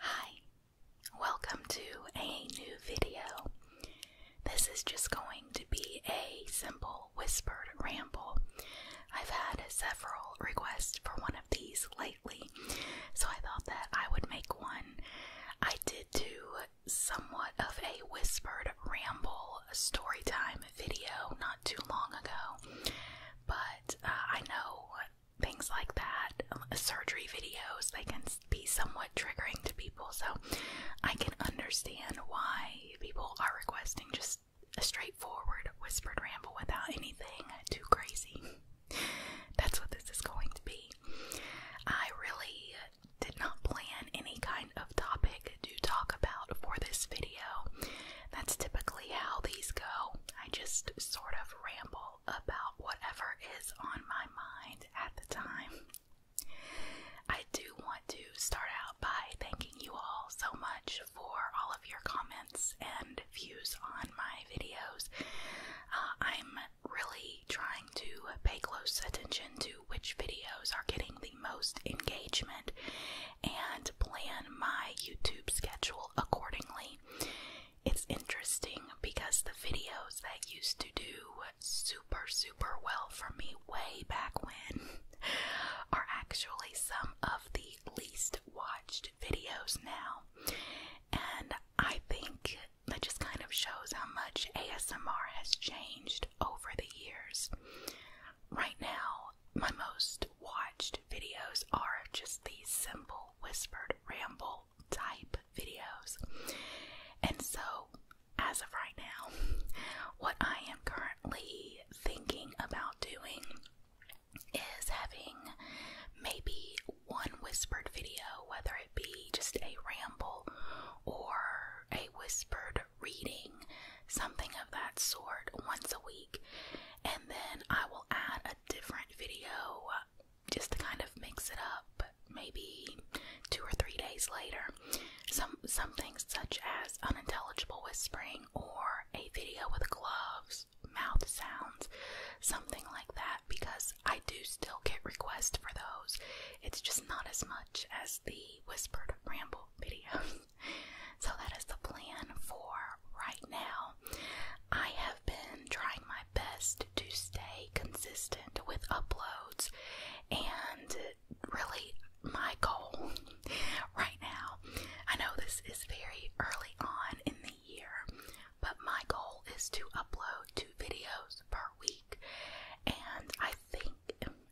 Hi, welcome to a new video. This is just going to be a simple whispered ramble. I've had several requests for one of these lately, so I thought that I would make one. I did do somewhat of a whispered ramble story time video not too long ago, but uh, I know things like that, um, surgery videos, they can be somewhat triggering to people. So I can understand why people are requesting just a straightforward whispered ramble without anything too crazy. That's what this is going to be. I really did not plan any kind of topic to talk about for this video. That's typically how these go. I just sort of ramble about whatever is on my mind at the time. I do want to start out by thanking you all so much for all of your comments and views on my videos. Uh, I'm really trying to pay close attention to which videos are getting the most engagement and plan my YouTube schedule accordingly it's interesting because the videos that used to do super, super well for me way back when are actually some of the least watched videos now. And I think that just kind of shows how much ASMR has changed over the years. Right now, my most watched videos are just these simple whispered ramble type videos. And so, as of right now, what I am currently thinking about doing is having maybe one whispered video, whether it be just a ramble or a whispered reading, something of that sort, once a week and then I will add a different video just to kind of mix it up. Maybe two or three days later, some things such as unintelligible whispering or a video with gloves, mouth sounds, something like that. Because I do still get requests for those. It's just not as much as the whispered ramble video. so that is the plan for right now. I have have been trying my best to stay consistent with uploads, and really, my goal right now I know this is very early on in the year, but my goal is to upload two videos per week, and I think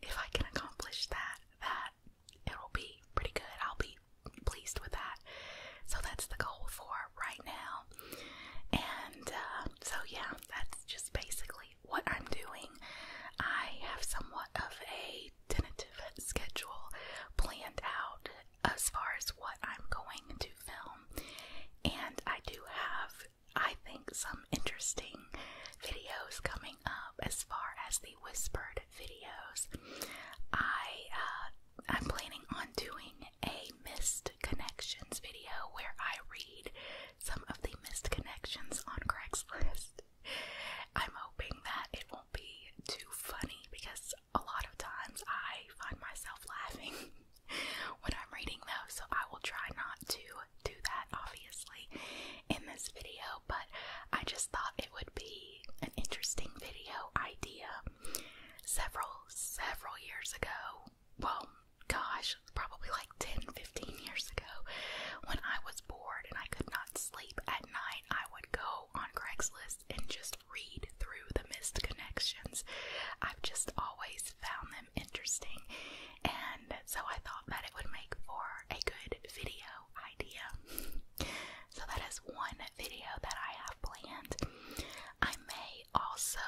if I can accomplish that, that it'll be pretty good. I'll be pleased with that. So that's the goal for right now. And uh, so, yeah, that's just basically what I'm doing. I have somewhat of a tentative schedule planned out as far as what I'm going to film, and I do have, I think, some interesting videos coming up as far as the whispered videos. I uh, I'm planning on doing a missed connections video where I read some of the missed connections on Craigslist. I'm hoping that it won't be too funny because a lot of times I find myself laughing when I'm reading those, so I will try not to do that obviously in this video, but I just thought it would be an interesting video idea. Several, several years ago, well, gosh, probably like 10, 15 years ago, when I was bored and I could not sleep at night, I would go on Craigslist and just read through the missed connections. I've just always found them interesting, and so I thought that it would make for a good video idea. so that is one video that I have planned. I may also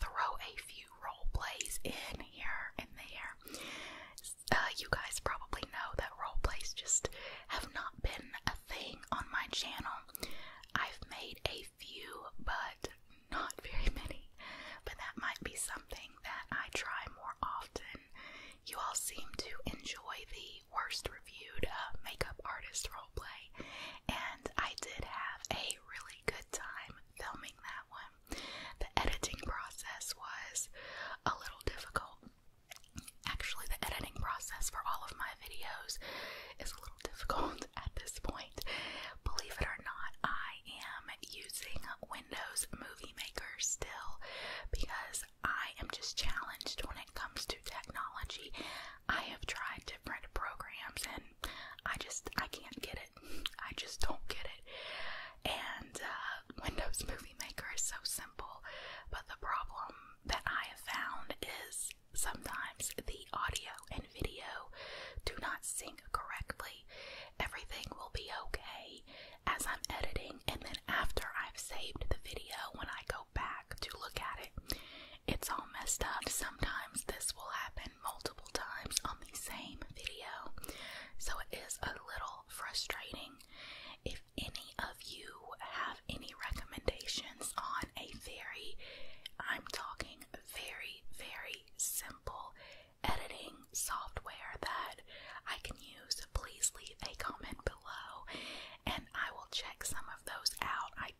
throw a few role plays in here and there. Uh, you guys probably know that role plays just have not been a thing on my channel. I've made a few, but not very many. But that might be something that I try more often. You all seem to enjoy the worst reviewed uh, makeup artist roleplay, and I did have a really good time filming that one. The editing process was a little difficult. Actually, the editing process for all of my videos is a little difficult at this point. Believe it or not, I am using Windows Movie Maker still because I am just challenged when it comes to technology. I have tried different programs and I just I can't get it. I just don't get it. And uh, Windows Movie Maker is so simple, but the problem that I have found is sometimes the audio and video do not sync correctly. Everything will be okay as I'm editing, and then after I've saved the video, when I go back to look at it, it's all messed up. Sometimes this will happen multiple times on the same video, so it is a little frustrating. If any of you have any recommendations on a very, I'm talking very, very simple editing software that I can use news, please leave a comment below and I will check some of those out. I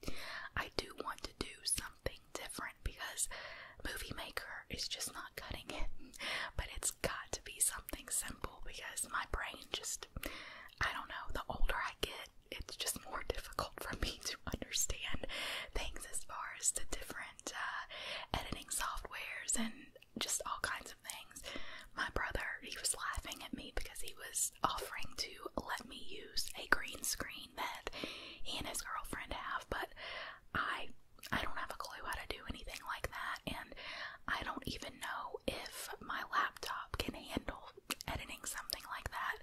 I do want to do something different because Movie Maker is just not cutting it. But it's got to be something simple because my brain just I don't know, the older I get, it's just more difficult for me to understand things as far as the different uh, editing softwares and just all kinds of things. My brother, he was laughing at me because he was offering to let me use a green screen that he and his girlfriend have, but I I don't have a clue how to do anything like that, and I don't even know if my laptop can handle editing something like that.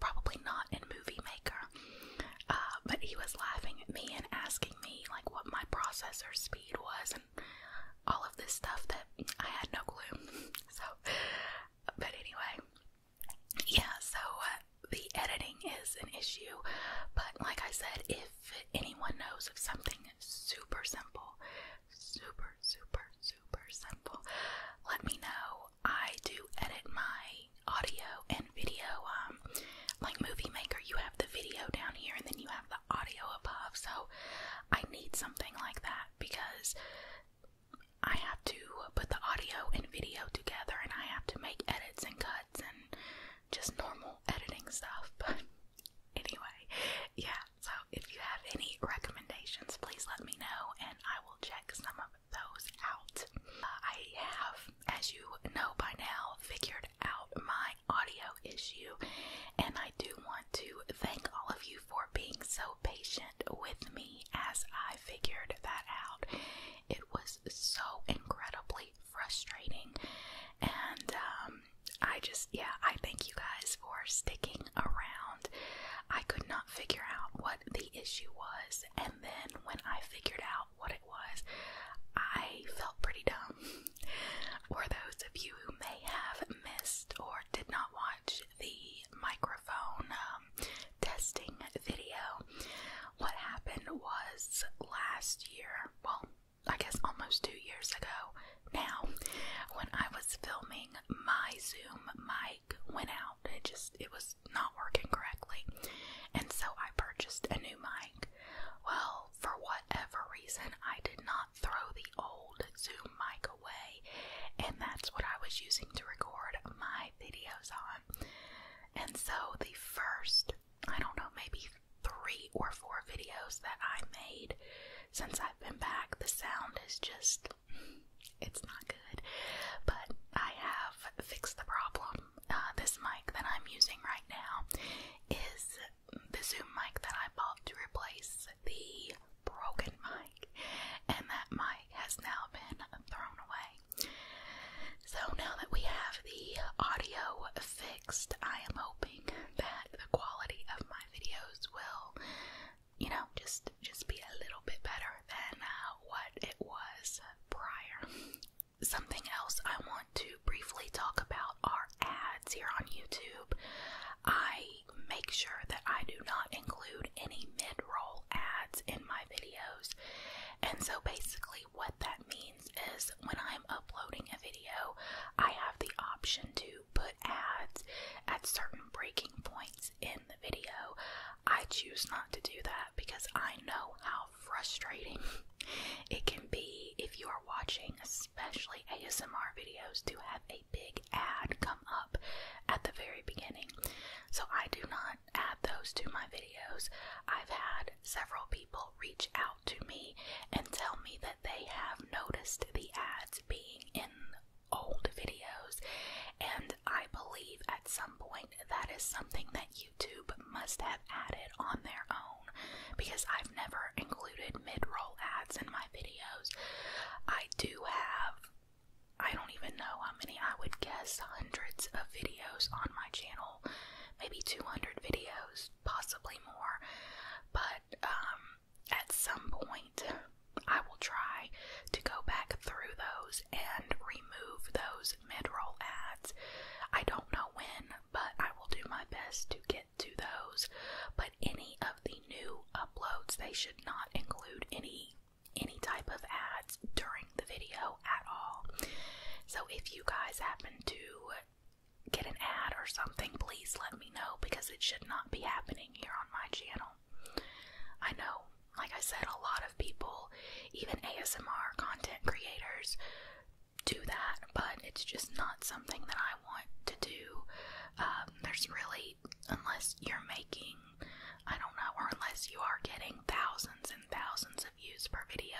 Probably not in Movie Maker. Uh, but he was laughing at me and asking me like what my processor speed was, and all of this stuff that I had no clue. So, but anyway, yeah, so uh, the editing is an issue, but like I said, if anyone knows of something super simple, super, super, super simple, let me know. I do edit my audio and video, um, like Movie Maker, you have the video down here and then you have audio above, so I need something like that because I have to put the audio and video together and I have to make edits and cuts and just normal editing stuff. But anyway, yeah, so if you have any recommendations, please let me know and I will check some of those out. Uh, I have, as you know by now, figured out my audio issue. And I do want to thank all of you for being so patient with me as I figured that out. It was so incredibly frustrating. And um, I just, yeah, I thank you guys for sticking around. I could not figure out what the issue was. And then when I figured out what it was, I felt pretty dumb or those of you who may have missed or did not watch the microphone um, testing video, what happened was last year, well, I guess almost two years ago now, when I was filming, my Zoom mic went out. It just, it was not working correctly. And so I purchased a new mic. Well, for whatever reason, I did not throw the old Zoom mic away, and that's what I was using to record my videos on. And so, the first, I don't know, maybe three or four videos that I made since I've been back, the sound is just. It's not good, but I have fixed the problem. Uh, this mic that I'm using right now is the Zoom mic that I bought to replace the broken mic, and that mic has now been thrown away. So now that we have the audio fixed, I am hoping that the quality of my videos will, you know, just just be a little bit better than uh, what it was prior something else I want to briefly talk about are ads here on YouTube. I make sure that I do not include any mid roll ads in my videos. And so basically, what that means is when I'm uploading a video, I have the option to put ads at certain breaking points in the video. I choose not to do that because I know how frustrating it can be if you are watching, especially ASMR videos, to have a big ad come up at the very beginning. So I do not add those to my videos. I've had several people reach out to me and tell me that they have noticed the ads being in old videos, and I believe at some point that is something that YouTube must have added on their own because I've never included mid-roll ads in my videos. I do have I don't even know how many. I would guess hundreds of videos on my channel, maybe 200 videos, possibly more. But um, at some point, I will try to go back through those and remove those mid roll ads. I don't know when, but I will do my best to get to those. But any of the new uploads, they should not include any any type of ads during the video at all. So if you guys happen to get an ad or something, please let me know because it should not be happening here on my channel. I know, like I said, a lot of people, even ASMR content creators, do that, but it's just not something that I want to do. Um, there's really, unless you're making, I don't know, or unless you are getting thousands and thousands of views per video,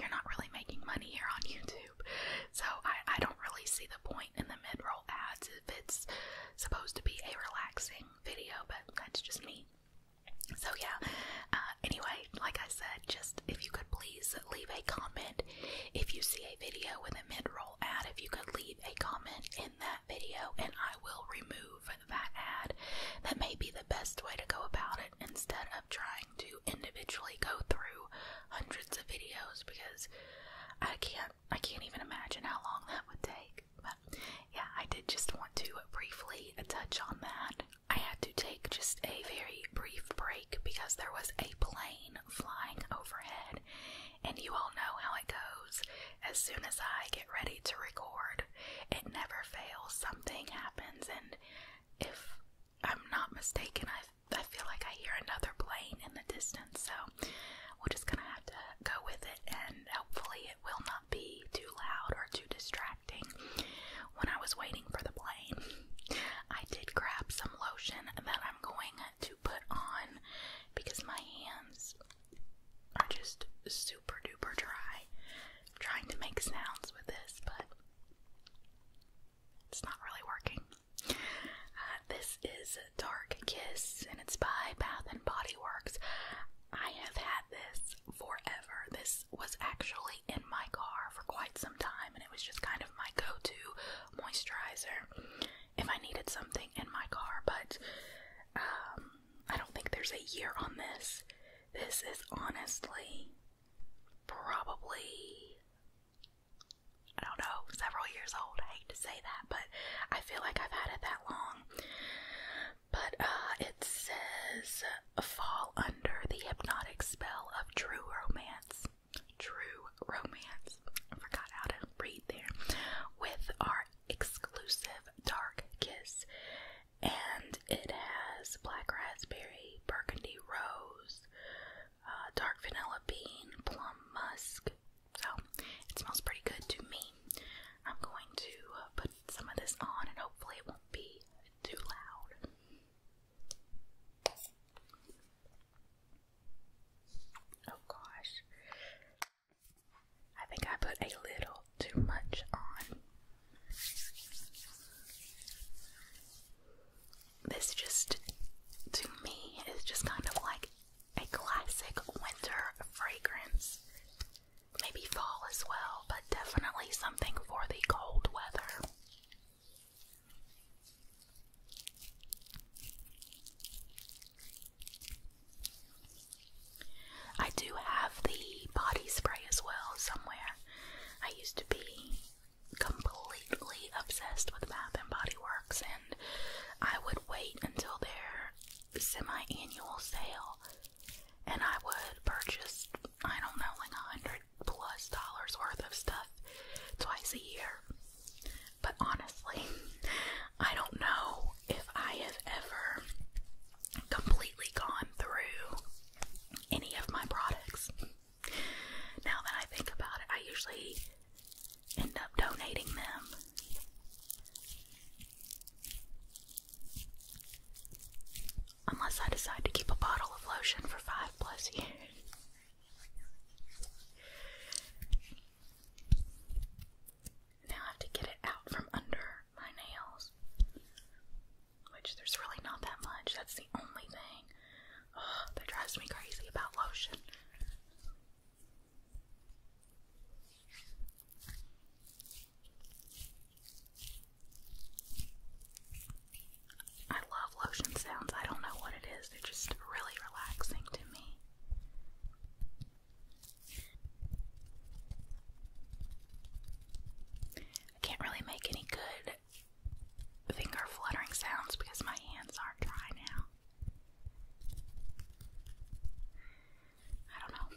you're not really making money here on YouTube. So I, I don't really see the point in the mid roll ads if it's supposed to be a relaxing video, but that's just me. So, yeah, uh, anyway, like I said, just if you could please leave a comment. If you see a video with a mid roll ad, if you could leave a comment in that video and I will remove that ad. That may be the best way to go about it instead of trying to individually go through hundreds of videos because I can't I can't even imagine how long that would take. But yeah, I did just want to briefly touch on that. I had to take just a very brief break because there was a plane flying overhead, and you all know how it goes. As soon as I get ready to record, it never fails. Something happens, and if I'm not mistaken, I I feel like I hear another plane in the distance, so we're just gonna have to go with it, and hopefully, it will not be too loud or too distracting when I was waiting for the plane, I did grab some lotion that I'm going to put on because my hands are just super duper dry. trying to make sounds with this, but it's not really working. Uh, this is Dark Kiss and it's by Bath and Body Works. I have had this this forever. This was actually in my car for quite some time, and it was just kind of my go to moisturizer if I needed something in my car. But um, I don't think there's a year on this. This is honestly probably, I don't know, several years old. I hate to say that, but I feel like I've had it that long. But uh, it says fall under the hypnotic spell of true romance. True romance. forgot how to read there. With our exclusive dark kiss. And it has black raspberry, burgundy rose, uh, dark vanilla bean, plum musk. So it smells pretty good to me. I'm going to put some of this on and hopefully it won't be too loud. Oh gosh. I think I put a little too much on. This just, to me, is just kind of like a classic winter fragrance. Maybe fall as well but definitely something for the cold weather. I do have the body spray as well somewhere. I used to be completely obsessed with Bath and Body Works and I would wait until their semi-annual sale and I would purchase, I don't know, like a hundred plus dollars worth of stuff twice a year. But honestly, I don't know if I have ever completely gone through any of my products. Now that I think about it, I usually end up donating them. Unless I decide to keep a bottle of lotion for five plus years. Now I have to get it out from under my nails, which there's really not that much. That's the only thing that drives me crazy about lotion. I love lotion sounds. I don't know what it is. They're just really relaxing to me. I can't really make any good finger fluttering sounds because my hands are dry now. I don't know.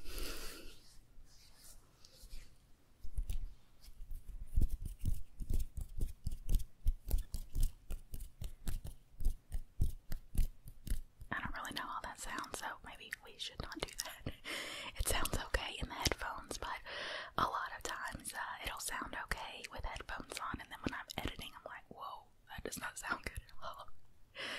I don't really know how that sounds, so maybe we should not do that. It sounds okay in the headphones, but a lot of times uh, it'll sound okay with headphones on, and then when I'm editing, I'm like, whoa, that does not sound good at all.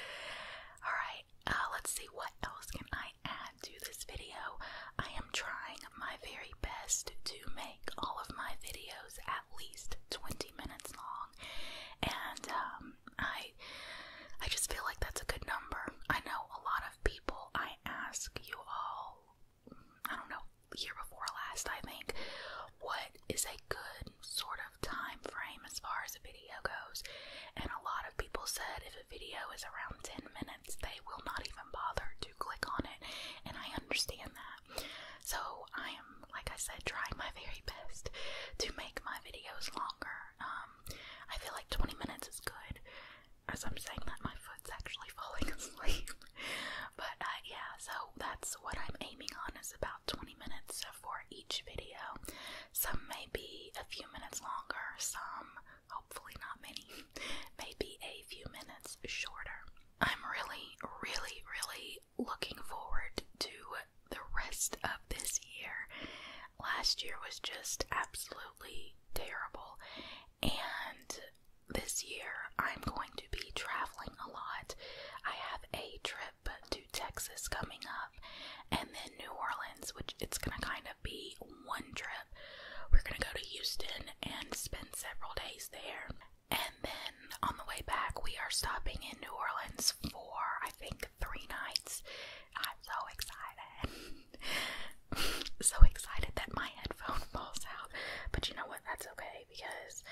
Alright. Uh, let's see what else can I add to this video. I am trying my very best to make all of my videos at least 20 minutes long, and um, I I just feel like that's a good number. I know a lot of people. I ask you all, I don't know, year before last, I think, what is a good sort of time frame as far as a video goes, and a lot of people said if the video is around 10 minutes, they will not even bother to click on it, and I understand that. So, I am, like I said, trying my very best to make my videos longer. Um, I feel like 20 minutes is good. As I'm saying that, my foot's actually falling asleep. but uh, yeah, so that's what I'm aiming on is about 20 minutes for each video. Some may be a few minutes longer, some hopefully not many, maybe a few minutes shorter. I'm really, really, really looking forward to the rest of this year. Last year was just absolutely terrible, and this year I'm going to be traveling a lot. I have a trip to Texas coming up, and then New Orleans, which it's gonna kind of be one trip. We're gonna go to Houston and spend several days there. And then on the way back, we are stopping in New Orleans for I think three nights. I'm so excited. so excited that my headphone falls out. But you know what? That's okay because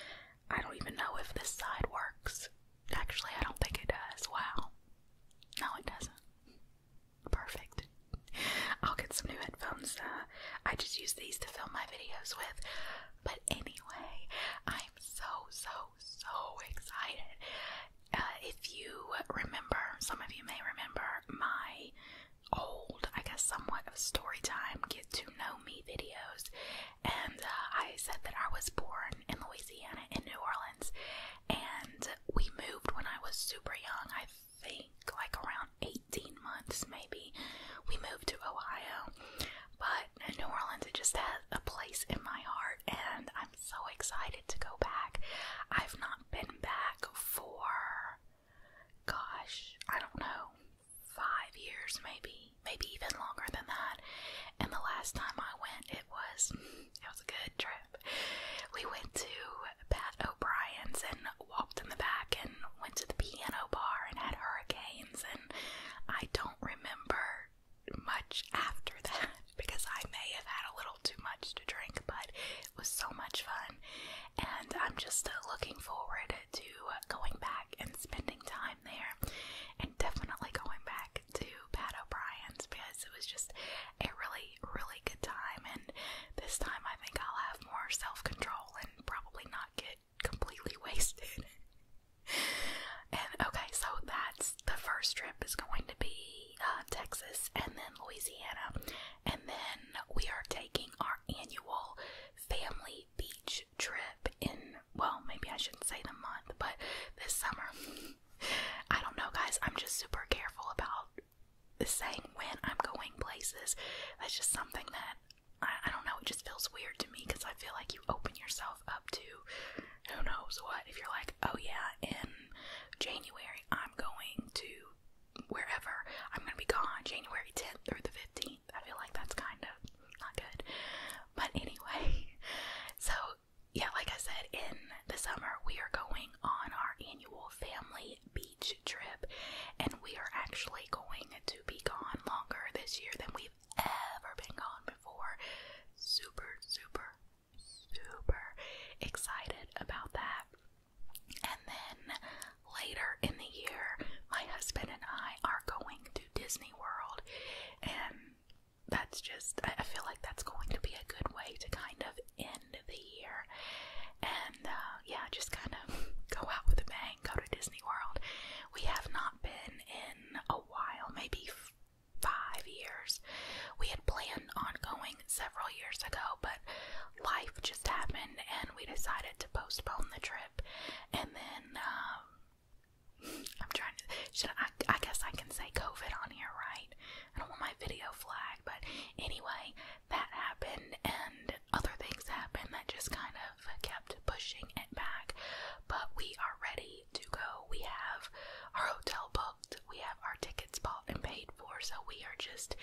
I don't even know if this side works. Actually, I don't think it does. Wow. No, it doesn't. Perfect. I'll get some new headphones. Uh, I just use these to film my videos with. But anyway, I'm so, so, so excited. Uh, if you remember, some of you may remember my old, I guess, somewhat of story time get to know me videos. And uh, I said that I was born in Louisiana, in New Orleans and we moved when I was super young. I think like around 18 months, maybe. We moved to Ohio, but New Orleans it just has a place in my heart, and I'm so excited to go back. I've not been back for, gosh, I don't know, five years maybe, maybe even longer than that. And the last time I went, it was it was a good trip. We went to Pat O'Brien's and walked in the back and went to the piano bar and had hurricanes and I don't remember much after that because I may have had a little too much to drink, but it was so much fun. And I'm just uh, looking forward to going back and spending time there and definitely going back to Pat O'Brien's because it was just a really, really good time. And this time I think I'll have more self control and probably not get completely wasted. and okay, so that's the first trip is going to be uh, Texas and then Louisiana. And then we are taking our annual family beach trip in, well, maybe I shouldn't say the month, but this summer. I don't know, guys. I'm just super careful about saying when I'm going places. That's just something that I, don't know. It just feels weird to me because I feel like you open yourself up to who knows what. If you're like, oh yeah, in January I'm going to wherever. I'm gonna be gone January 10th through the 15th. I feel like that's kind of not good. But anyway, so yeah, like I said, in the summer, we are going on our annual family beach trip, and we are actually going to be gone longer this year than we've ever been gone before. Super, super, super excited about that. And then later in the year, my husband and I are going to Disney World, and that's just, I feel like that's going to be a good way to kind of end the year. And uh, yeah, just kind of go out with a bang, go to Disney World. We have not been in a while, maybe five years. We had planned on going several years ago, but life just happened and we decided to postpone the trip. And then, um, I'm trying to. Should I? I guess I can say COVID on here, right? I don't want my video flagged, but anyway, that happened, and other things happened that just kind of kept pushing it back. But we are ready to go. We have our hotel booked. We have our tickets bought and paid for, so we are just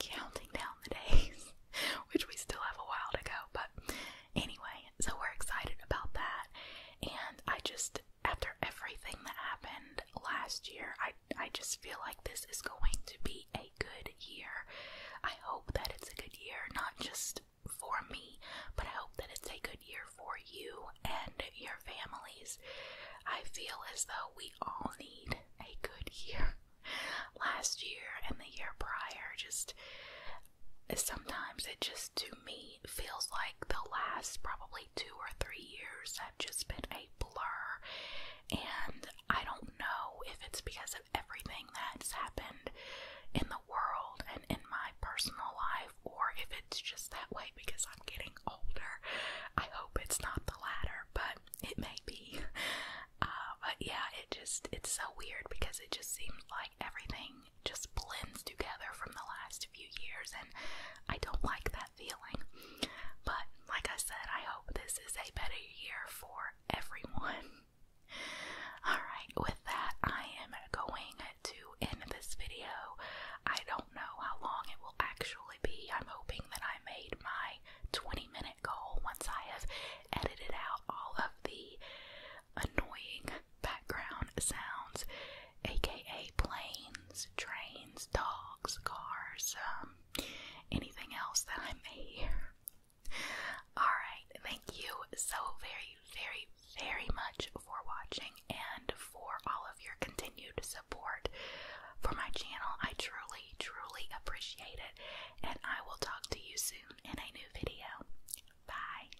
counting down the days, which we still have a while to go. But anyway, so we're excited about that, and I just after everything that happened last year, I I just feel like this is going to be a good year. I hope that it's a good year, not just for me, but I hope that it's a good year for you and your families. I feel as though we all need a good year. Last year and the year prior, just sometimes it just to me me feels like the last probably two or three years have just been a blur. And I don't know if it's because of everything that's happened in the world and in my personal life, or if it's just that way because I'm getting older. I hope it's not the latter, but it may be. Uh, but yeah, it just, it's so weird because it just seems like everything just blends together from the last few years, and I don't like that feeling. But like I said, I hope this is a better year for everyone. Alright, with that, I am going to end this video. I don't know how long it will actually be. I'm hoping that I made my 20 minute goal once I have edited out all of the annoying background sounds, aka planes, trains, dogs, cars, um, anything else that I may hear. Alright, thank you so very, very, very much for watching and for all of your continued support for my channel. I truly, truly appreciate it, and I will talk to you soon in a new video. Bye.